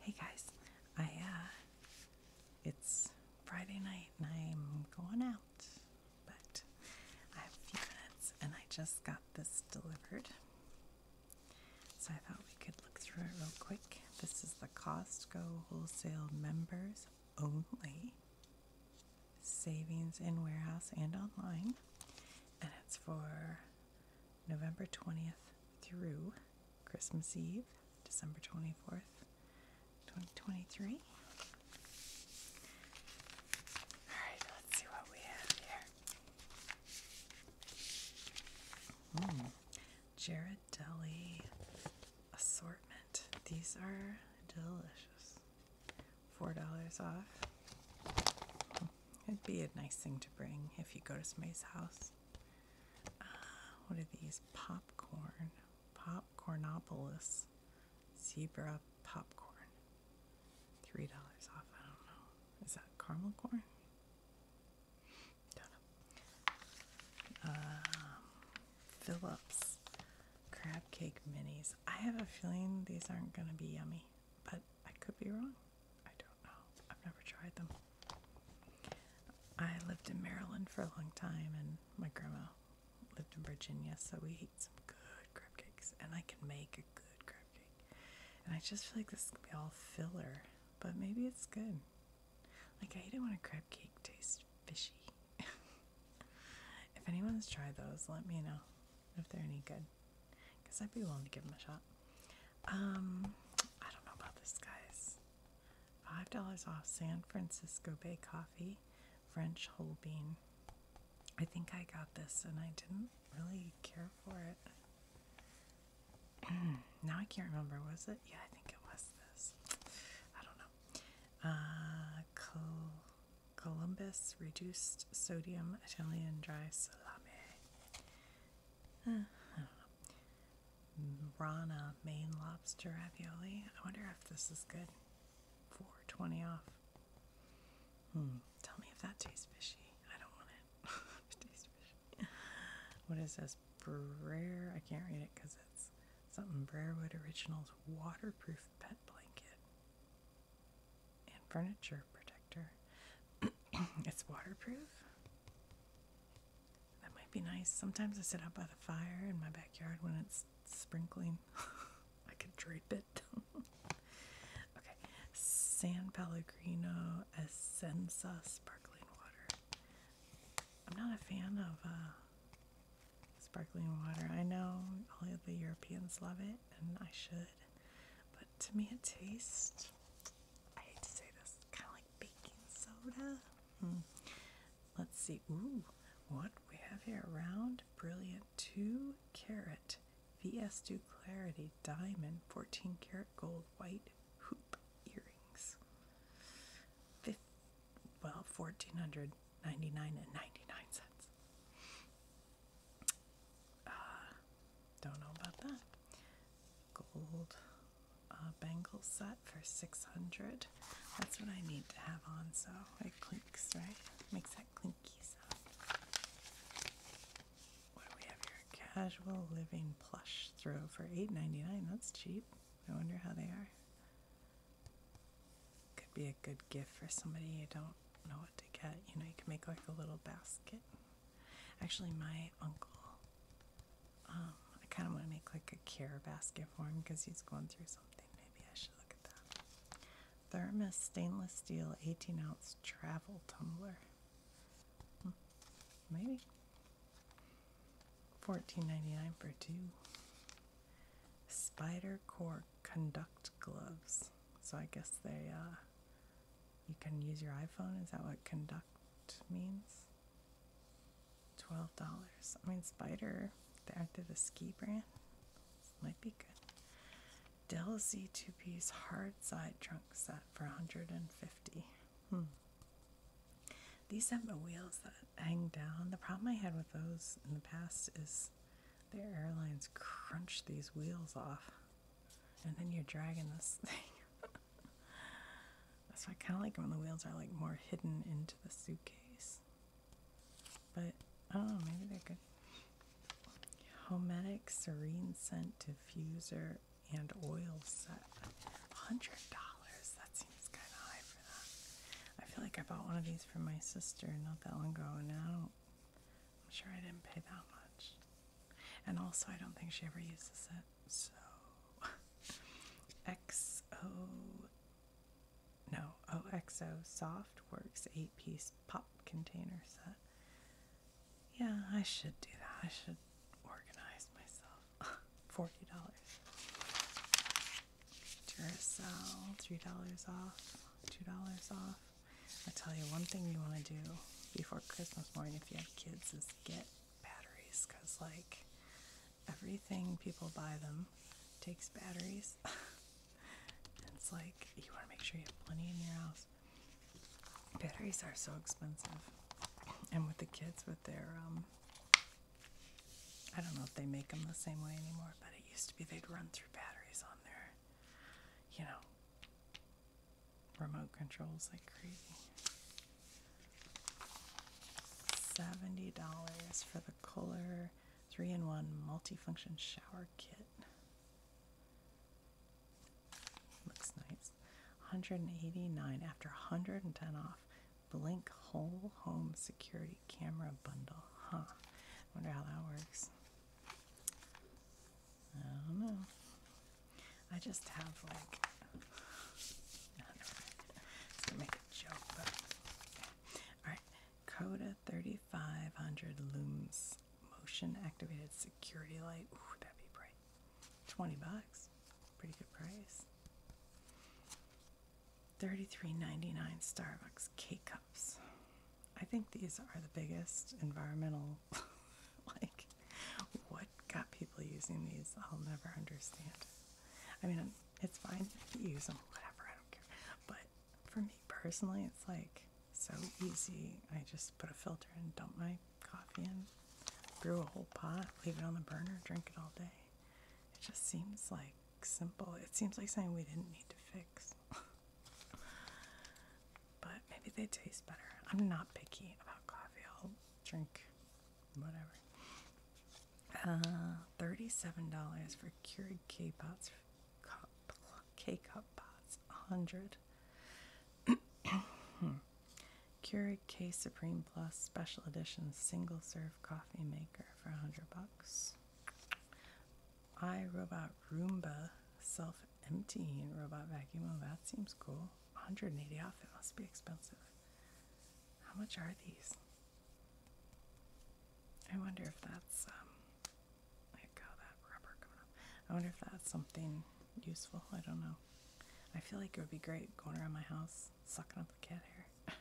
Hey guys, uh, it's Friday night and I'm going out, but I have a few minutes and I just got this delivered. So I thought we could look through it real quick. This is the Costco wholesale members only savings in warehouse and online and it's for November 20th through Christmas Eve, December 24th, 2023. All right, let's see what we have here. Mm. Jared Deli assortment. These are delicious. $4 off. It'd be a nice thing to bring if you go to somebody's house. Uh, what are these? Popcorn. Popcornopolis. Zebra popcorn. $3 off. I don't know. Is that caramel corn? do um, Phillips. Crab cake minis. I have a feeling these aren't going to be yummy but I could be wrong. I don't know. I've never tried them. I lived in Maryland for a long time, and my grandma lived in Virginia, so we ate some good crab cakes, and I can make a good crab cake. And I just feel like this is gonna be all filler, but maybe it's good. Like I hate not want a crab cake taste fishy. if anyone's tried those, let me know if they're any good because I'd be willing to give him a shot. Um, I don't know about this, guys. Five dollars off San Francisco Bay Coffee, French whole bean. I think I got this, and I didn't really care for it. now I can't remember. Was it? Yeah, I think it was this. I don't know. Uh, Columbus reduced sodium Italian dry salami. Rana Maine Lobster Ravioli. I wonder if this is good. 420 off. Hmm. Tell me if that tastes fishy. I don't want it. What is this? Brer. I can't read it because it's something Brerewood Originals waterproof pet blanket and furniture protector. it's waterproof. That might be nice. Sometimes I sit out by the fire in my backyard when it's sprinkling. I could drape it. okay, San Pellegrino Essenza sparkling water. I'm not a fan of uh, sparkling water. I know all the Europeans love it, and I should, but to me, it tastes, I hate to say this, kind of like baking soda. Hmm. Let's see. Ooh, what we have here round, brilliant, 2 carat VS2 Clarity Diamond 14 karat gold white hoop earrings. Fifth, well, 1499 and 99 cents. Uh, don't know about that. Gold uh, bangle set for 600. That's what I need to have on so it clinks, right? Makes that clinky sound. What do we have here? Casual living plush throw for eight ninety nine. That's cheap. I wonder how they are. Could be a good gift for somebody you don't know what to get. You know, you can make like a little basket. Actually, my uncle. Um, I kind of want to make like a care basket for him because he's going through something. Maybe I should look at that. Thermos stainless steel 18 ounce travel tumbler. Hmm, maybe. Fourteen ninety nine for two. Spider core conduct gloves. So I guess they uh, you can use your iPhone? Is that what conduct means? $12. I mean, Spider, aren't the ski brand? This might be good. Dell Z2P's hard side trunk set for 150 Hmm. These have the wheels that hang down. The problem I had with those in the past is their airlines crunched these wheels off and then you're dragging this thing. That's why I kind of like when the wheels are like more hidden into the suitcase. But oh, maybe they're good. Hometic serene scent diffuser and oil set. Hundred dollars. That seems kind of high for that. I feel like I bought one of these for my sister not that one ago, out. I'm sure I didn't pay that much. And also, I don't think she ever uses it. So, XO, no, OXO Soft Works 8 piece pop container set. Yeah, I should do that. I should organize myself. $40. Duracell, $3 off, $2 off. I tell you, one thing you want to do before Christmas morning if you have kids is get batteries because, like, everything people buy them takes batteries. it's like you want to make sure you have plenty in your house. Batteries are so expensive, and with the kids, with their um, I don't know if they make them the same way anymore, but it used to be they'd run through batteries on their, you know, remote controls like crazy. $70 for the Kohler 3 in 1 multifunction shower kit. Looks nice. 189 after 110 off. Blink whole home security camera bundle. Huh. Wonder how that works. I don't know. I just have like I don't know. make a joke, okay. Alright. Coda 3500 Looms Motion Activated Security Light. Ooh, that'd be bright. 20 bucks. Pretty good price. 33.99 Starbucks K-Cups. I think these are the biggest environmental. like, what got people using these? I'll never understand. I mean, it's fine to use them, whatever, But for me personally, it's like so easy. I just put a filter and dump my coffee in, brew a whole pot, leave it on the burner, drink it all day. It just seems like simple. It seems like something we didn't need to fix. But maybe they taste better. I'm not picky about coffee. I'll drink whatever. Uh, $37 for Keurig K pots, K cup pots, 100 Keurig K Supreme Plus Special Edition Single Serve Coffee Maker for 100 bucks. iRobot Roomba Self emptying robot vacuum. Oh, that seems cool. 180 off. It must be expensive. How much are these? I wonder if that's um, I got that rubber coming up. I wonder if that's something useful. I don't know. I feel like it would be great going around my house sucking up the cat hair.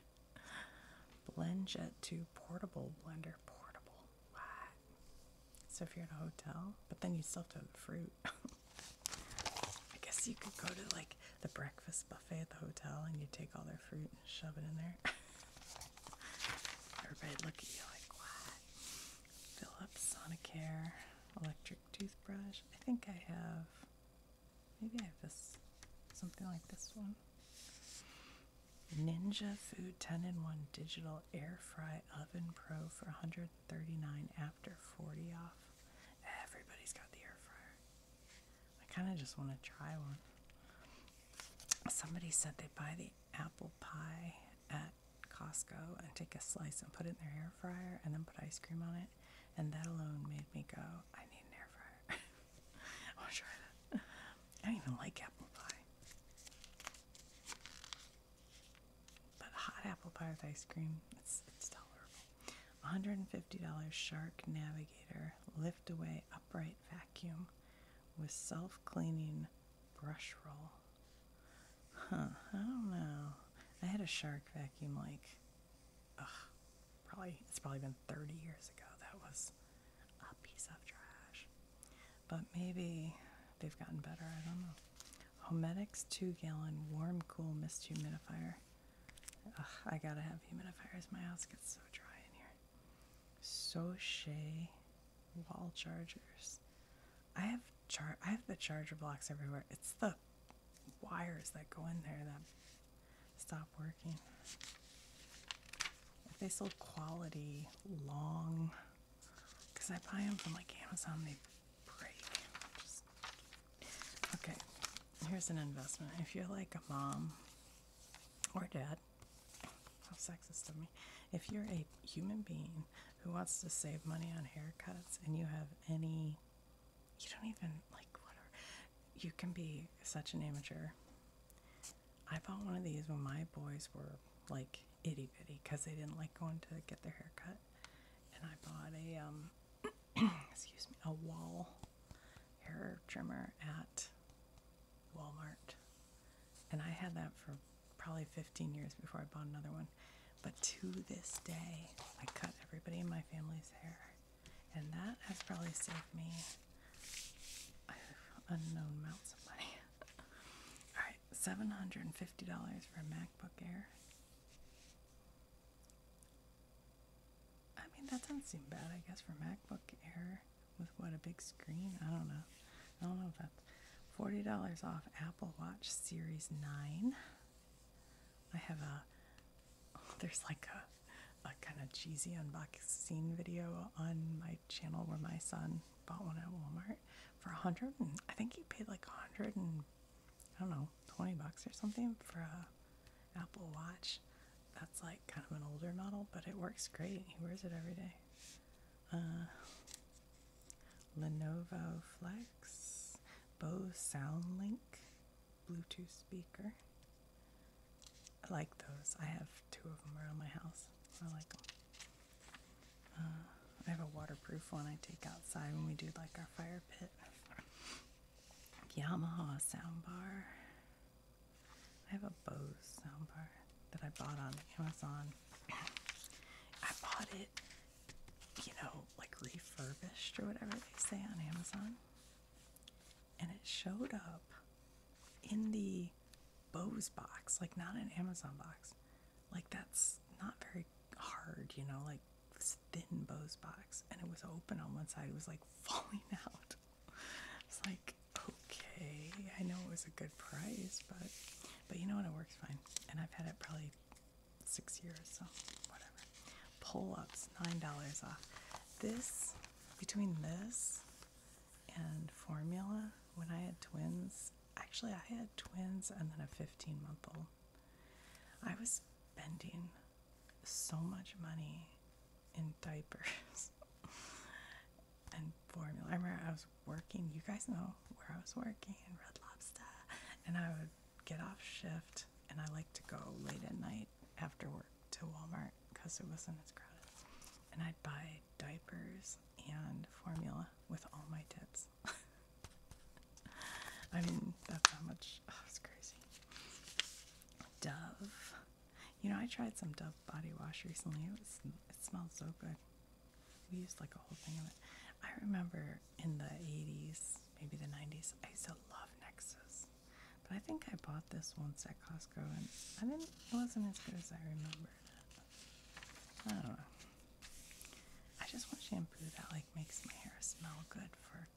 Blend Jet 2 portable blender. Portable. Wow. So if you're in a hotel, but then you still have to have fruit. I guess you could go to like the breakfast buffet at the hotel and you take all their fruit and shove it in there. everybody look at you like, what? Philips, Sonicare, electric toothbrush. I think I have, maybe I have this, something like this one. Ninja Food 10 in 1 Digital Air Fry Oven Pro for 139 after 40 off. Everybody's got the air fryer. I kind of just want to try one. Somebody said they buy the apple pie at Costco and take a slice and put it in their air fryer and then put ice cream on it. And that alone made me go, I need an air fryer. I want to try that. I don't even like apple pie. But hot apple pie with ice cream, it's, tolerable. $150 Shark Navigator lift away upright vacuum with self cleaning brush roll. Huh, I don't know. I had a shark vacuum like, ugh, probably, it's probably been 30 years ago. That was a piece of trash. But maybe they've gotten better, I don't know. Homedics 2 gallon warm cool mist humidifier. I gotta have humidifiers. My house gets so dry in here. Soche wall chargers. I have char I have the charger blocks everywhere. It's the wires that go in there that stop working. If they sold quality long. Because I buy them from like Amazon, they break. Okay, here's an investment. If you're like a mom or dad, how sexist of me. If you're a human being who wants to save money on haircuts and you have any, you don't even like whatever, you can be such an amateur I bought one of these when my boys were like itty bitty because they didn't like going to get their hair cut. And I bought a, um, excuse me, a wall hair trimmer at Walmart. And I had that for probably 15 years before I bought another one. But to this day, I cut everybody in my family's hair. And that has probably saved me unknown amounts of money. All right, seven hundred and fifty dollars for a MacBook Air. I mean, that doesn't seem bad, I guess, for MacBook Air with what a big screen. I don't know. I don't know if that's forty dollars off Apple Watch Series Nine. I have a there's like a a kind of cheesy unboxing video on my channel where my son bought one at Walmart for a hundred I think he paid like a hundred and I don't know, twenty bucks or something for a Apple Watch. That's like kind of an older model, but it works great. He wears it every day. Uh, Lenovo Flex, Bose SoundLink Bluetooth speaker, I like those. I have two of them around my house. I like them. Uh, I have a waterproof one I take outside when we do like our fire pit. Yamaha soundbar. I have a Bose soundbar that I bought on Amazon. I bought it, you know, like refurbished or whatever they say on Amazon. And it showed up in the Bose box, like not an Amazon box. Like that's not very hard, you know, like this thin Bose box. And it was open on one side, it was like falling out. It's like, okay, I know it was a good price, but but you know what it works fine. And I've had it probably six years, so whatever. Pull ups, nine dollars off. This between this and formula when I had twins. Actually, I had twins and then a 15 month old. I was spending so much money in diapers and formula. I remember I was working, you guys know where I was working Red Lobster, and I would get off shift and I like to go late at night after work to Walmart because it wasn't as crowded. And I'd buy diapers and formula with all my tips. I mean, that's how much. Oh, it's crazy. Dove. You know, I tried some Dove body wash recently. It was it smelled so good. We used like a whole thing of it. I remember in the 80s, maybe the 90s, I used to love Nexus. But I think I bought this once Costco, and I didn't. It wasn't as good as I remembered. I don't know. I just want shampoo that like makes my hair smell good. For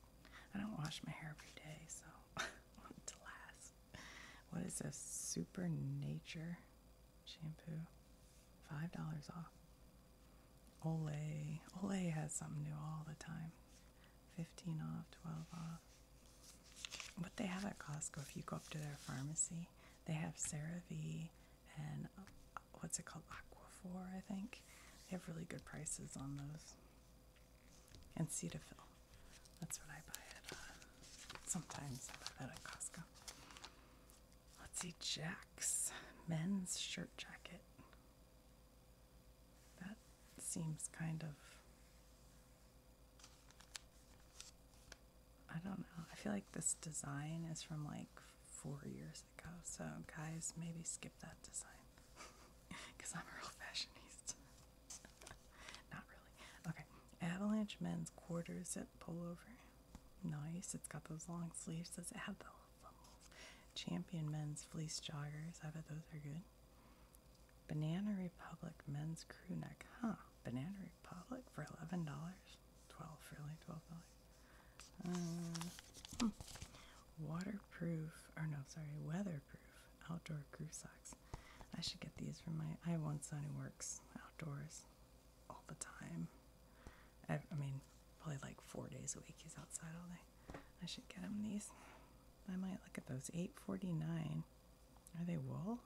I don't wash my hair every day, so want to last. What is this Supernature shampoo? Five dollars off. Ole. Ole has something new all the time. Fifteen off, twelve off what they have at Costco, if you go up to their pharmacy, they have CeraVe and uh, what's it called? Aquaphor, I think. They have really good prices on those. And Cetaphil. That's what I buy at, sometimes I buy that at Costco. Let's see, Jack's men's shirt jacket. That seems kind of I don't know. I feel like this design is from like four years ago. So, guys, maybe skip that design because I'm a real fashionista. Not really. Okay. Avalanche men's quarter zip pullover. Nice. It's got those long sleeves. Does it have the Champion men's fleece joggers? I bet those are good. Banana Republic men's crew neck. Huh. Banana Republic for $11? 12 really? $12? Uh, hmm. Waterproof, or no, sorry, weatherproof outdoor crew socks. I should get these for my. I have one son who works outdoors all the time. I, I mean, probably like four days a week he's outside all day. I should get him these. I might look at those. 849 are they wool?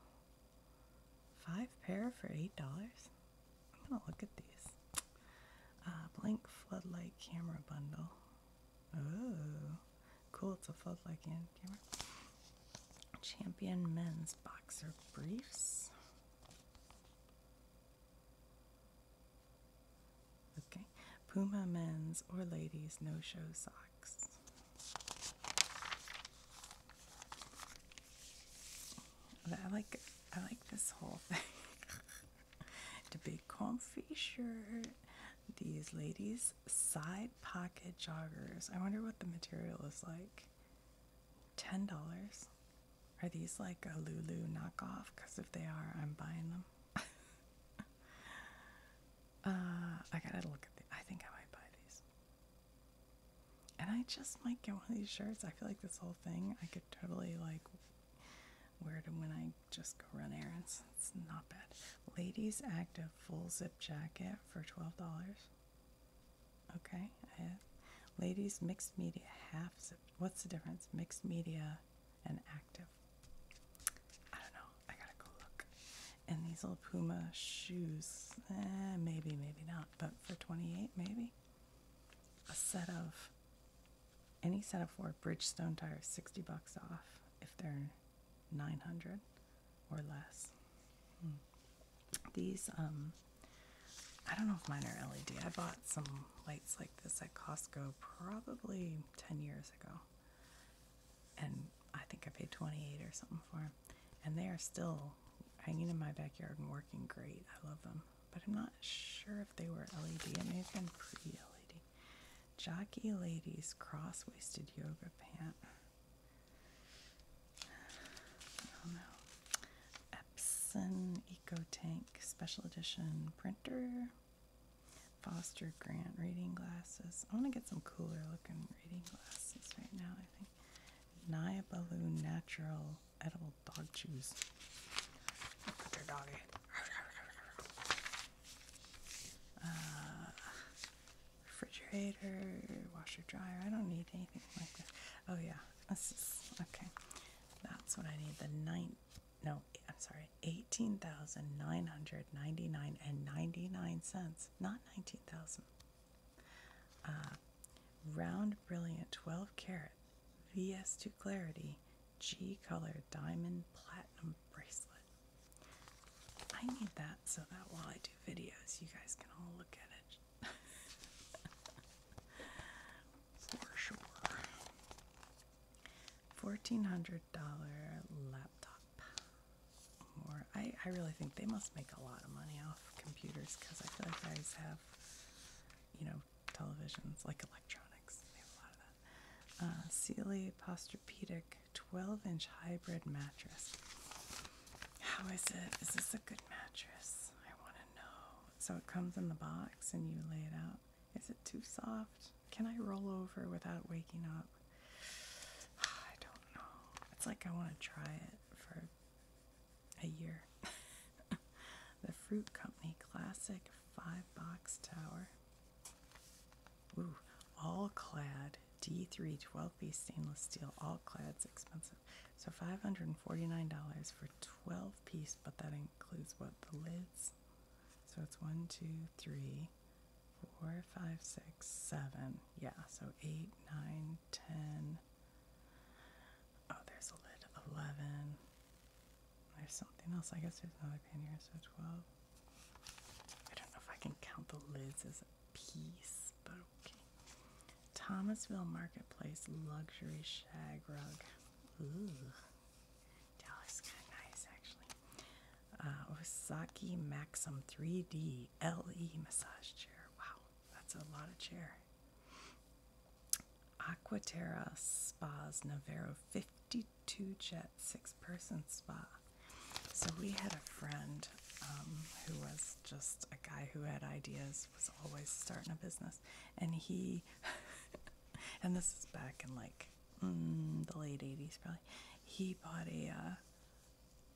Five pair for $8? I'm gonna look at these. Uh, blank Floodlight Camera Bundle. Ooh, cool, it's a floodlight camera. Champion Men's Boxer Briefs. Okay. Puma men's or ladies no show socks. I like I like this whole thing. the big comfy shirt. These ladies side pocket joggers. I wonder what the material is like. Ten dollars. Are these like a Lululemon knockoff? Because if they are, I'm buying them. Uh, I gotta look at the. I think I might buy these. And I just might get one of these shirts. I feel like this whole thing I could totally like wear it when I just go run errands. It's not bad. Ladies active full zip jacket for twelve dollars. Okay, Ladies mixed media half zip. What's the difference? Mixed media and active. I don't know. I gotta go look. And these little Puma shoes, eh, maybe, maybe not. But for 28, maybe a set of any set of four Bridgestone tires, 60 bucks off if they're 900 or less. Hmm. These, um, I don't know if mine are LED. I bought some lights like this at Costco probably 10 years ago and I think I paid 28 or something for them. And they are still hanging in my backyard and working great. I love them. But I'm not sure if they were LED. It they have been pre-LED. Jockey Ladies Cross-Waisted Yoga Pant. I don't know. Epson Eco Tank Special Edition Printer. Foster Grant reading glasses. I want to get some cooler looking reading glasses right now, I think. Naya Balloon Natural Edible Dog Chews. Put their dog uh, refrigerator, washer, dryer. I don't need anything like this. Oh, yeah. This is okay. That's what I need. The ninth. No, I'm sorry eighteen thousand nine hundred ninety nine and ninety nine cents, not nineteen thousand. Uh, round brilliant twelve carat VS two clarity G color diamond platinum bracelet. I need that so that while I do videos, you guys can all look at it. For sure. $1,400 laptop more. I, I really think they must make a lot of money off computers because I feel like they have, you know, televisions, like electronics. They have a lot of that. Uh, Sealy Posturpedic 12 inch hybrid mattress. How is it? Is this a good mattress? I want to know. So it comes in the box and you lay it out. Is it too soft? Can I roll over without waking up? I don't know. It's like I want to try it for a year. the Fruit Company Classic Five Box Tower. Ooh, all clad D3 12 piece stainless steel, all clad's expensive. So $549 for 12 piece, but that includes what the lids. So it's one, two, three, four, five, six, seven. Yeah, so eight, nine, ten. Oh, there's a lid. Eleven. There's something else. I guess there's another pin here, so twelve. I don't know if I can count the lids as a piece, but okay. Thomasville Marketplace luxury shag rug. Ooh. Dallas, kind of nice actually. Uh, Osaki Maxim 3D LE massage chair. Wow, that's a lot of chair. Aquaterra Spas Navarro 52 jet six person spa. So we had a friend um, who was just a guy who had ideas, was always starting a business, and he, and this is back in like mm, the late 80s probably he bought a uh,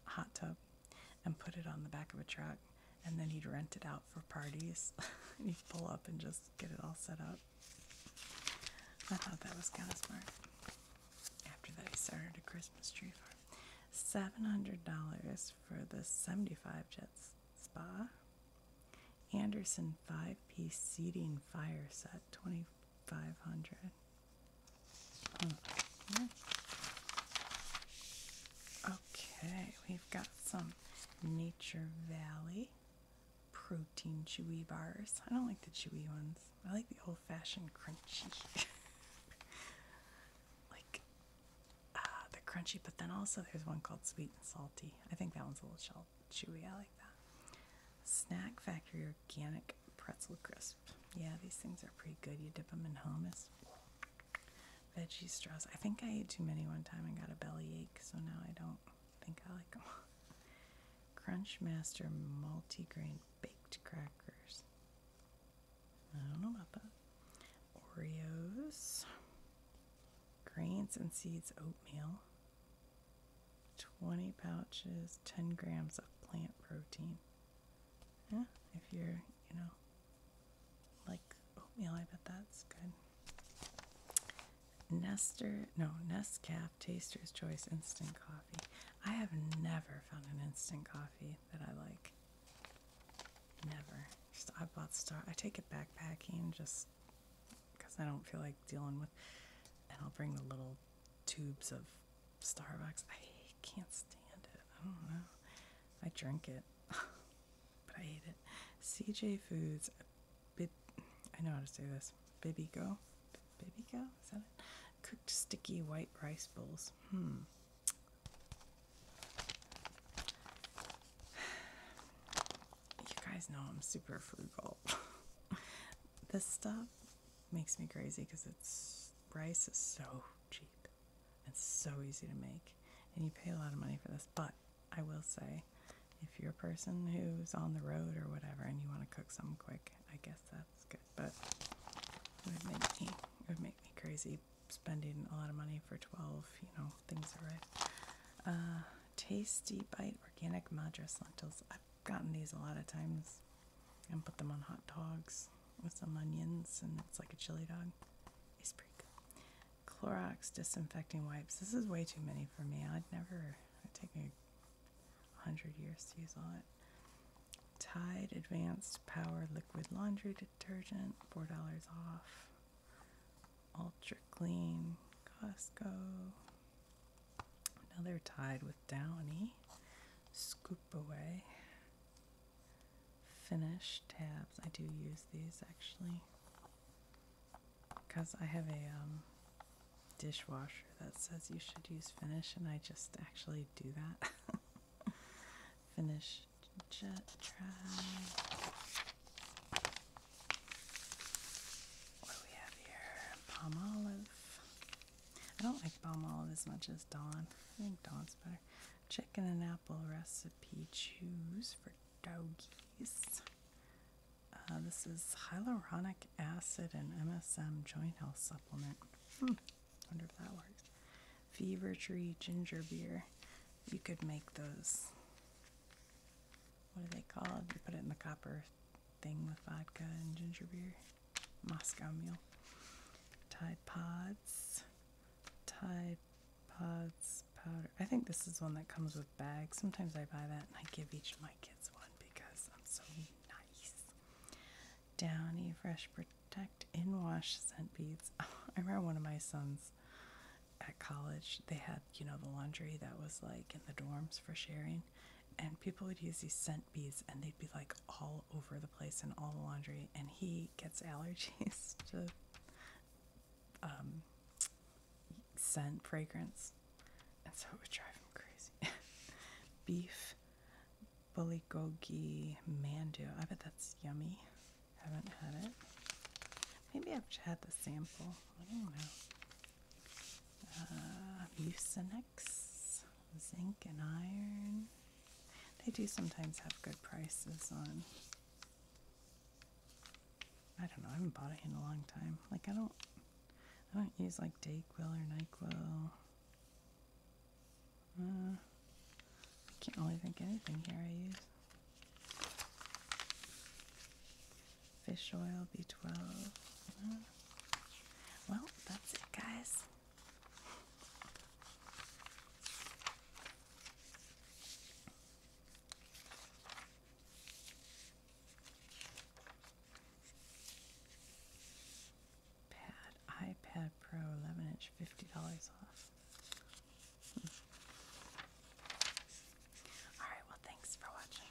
hot tub and put it on the back of a truck, and then he'd rent it out for parties. and he'd pull up and just get it all set up. I thought that was kind of smart. After that, he started a Christmas tree farm. Seven hundred dollars for the seventy-five jets spa. Anderson five-piece seating fire set, 2400 500. Okay, we've got some Nature Valley protein chewy bars. I don't like the chewy ones. I like the old fashioned crunchy. like uh, the crunchy, but then also there's one called sweet and salty. I think that one's a little shelved chewy. I like that. Snack Factory Organic Pretzel Crisp. Yeah, these things are pretty good. You dip them in hummus. Veggie straws. I think I ate too many one time and got a belly ache, so now I don't think I like them. Crunchmaster Multigrain Baked Crackers. I don't know about that. Oreos. Grains and seeds oatmeal. 20 pouches, 10 grams of plant protein. if you're, you know, like oatmeal, I bet that's good. Nestor, no, Nescaf Taster's Choice Instant Coffee. I have never found an instant coffee that I like. Never. I bought Star. I take it backpacking just because I don't feel like dealing with. And I'll bring the little tubes of Starbucks. I can't stand it. I don't know. I drink it, but I hate it. CJ Foods, bib, I know how to say this. Bibigo, Bibigo, is that it? Cooked sticky white rice bowls. Hmm. You guys know I'm super frugal. this stuff makes me crazy because its price is so cheap and so easy to make, and you pay a lot of money for this. But I will say, if you're a person who's on the road or whatever and you want to cook some quick, I guess that's good. But it would make me would make me crazy spending a lot of money for 12, you know, things are Uh, tasty bite organic madras lentils gotten these a lot of times and put them on hot dogs with some onions, and it's like a chili dog. It's pretty Clorox disinfecting wipes. This is way too many for me. I'd never, take a hundred years to use all it. Tide Advanced Power Liquid Laundry Detergent, $4 off. Ultra Clean, Costco, now they're tied with Downy. Scoop away. Finish tabs. I do use these actually because I have a um, dishwasher that says you should use finish, and I just actually do that. finish jet try. What do we have here? Palm olive. I don't like palm olive as much as Dawn. I think Dawn's better. Chicken and apple recipe choose for doggies. Uh, this is hyaluronic acid and MSM joint health supplement. Hmm, wonder if that works. Fever tree ginger beer. You could make those what are they called? You put it in the copper thing with vodka and ginger beer. Moscow Mule. Tide Pods. Tide Pods powder. I think this is one that comes with bags. Sometimes I buy that and I give each of my kids one because I'm so nice. Downy Fresh Protect in wash scent beads. I remember one of my sons at college, they had, you know, the laundry that was like in the dorms for sharing and people would use these scent beads and they'd be like all over the place and all the laundry and he gets allergies to um, scent fragrance and so it would drive him crazy beef bulgogi mandu i bet that's yummy haven't had it maybe i've had the sample i don't know uh, zinc and iron. They do sometimes have good prices on. I don't know. I haven't bought it in a long time. Like I don't, I don't use like Dayquil or Nyquil. Uh, I can't really think anything here I use. Fish oil, B12. Mm-hmm. Well, that's it, guys. Pad, iPad Pro 11 inch, $50 off. Alright, well, thanks for watching.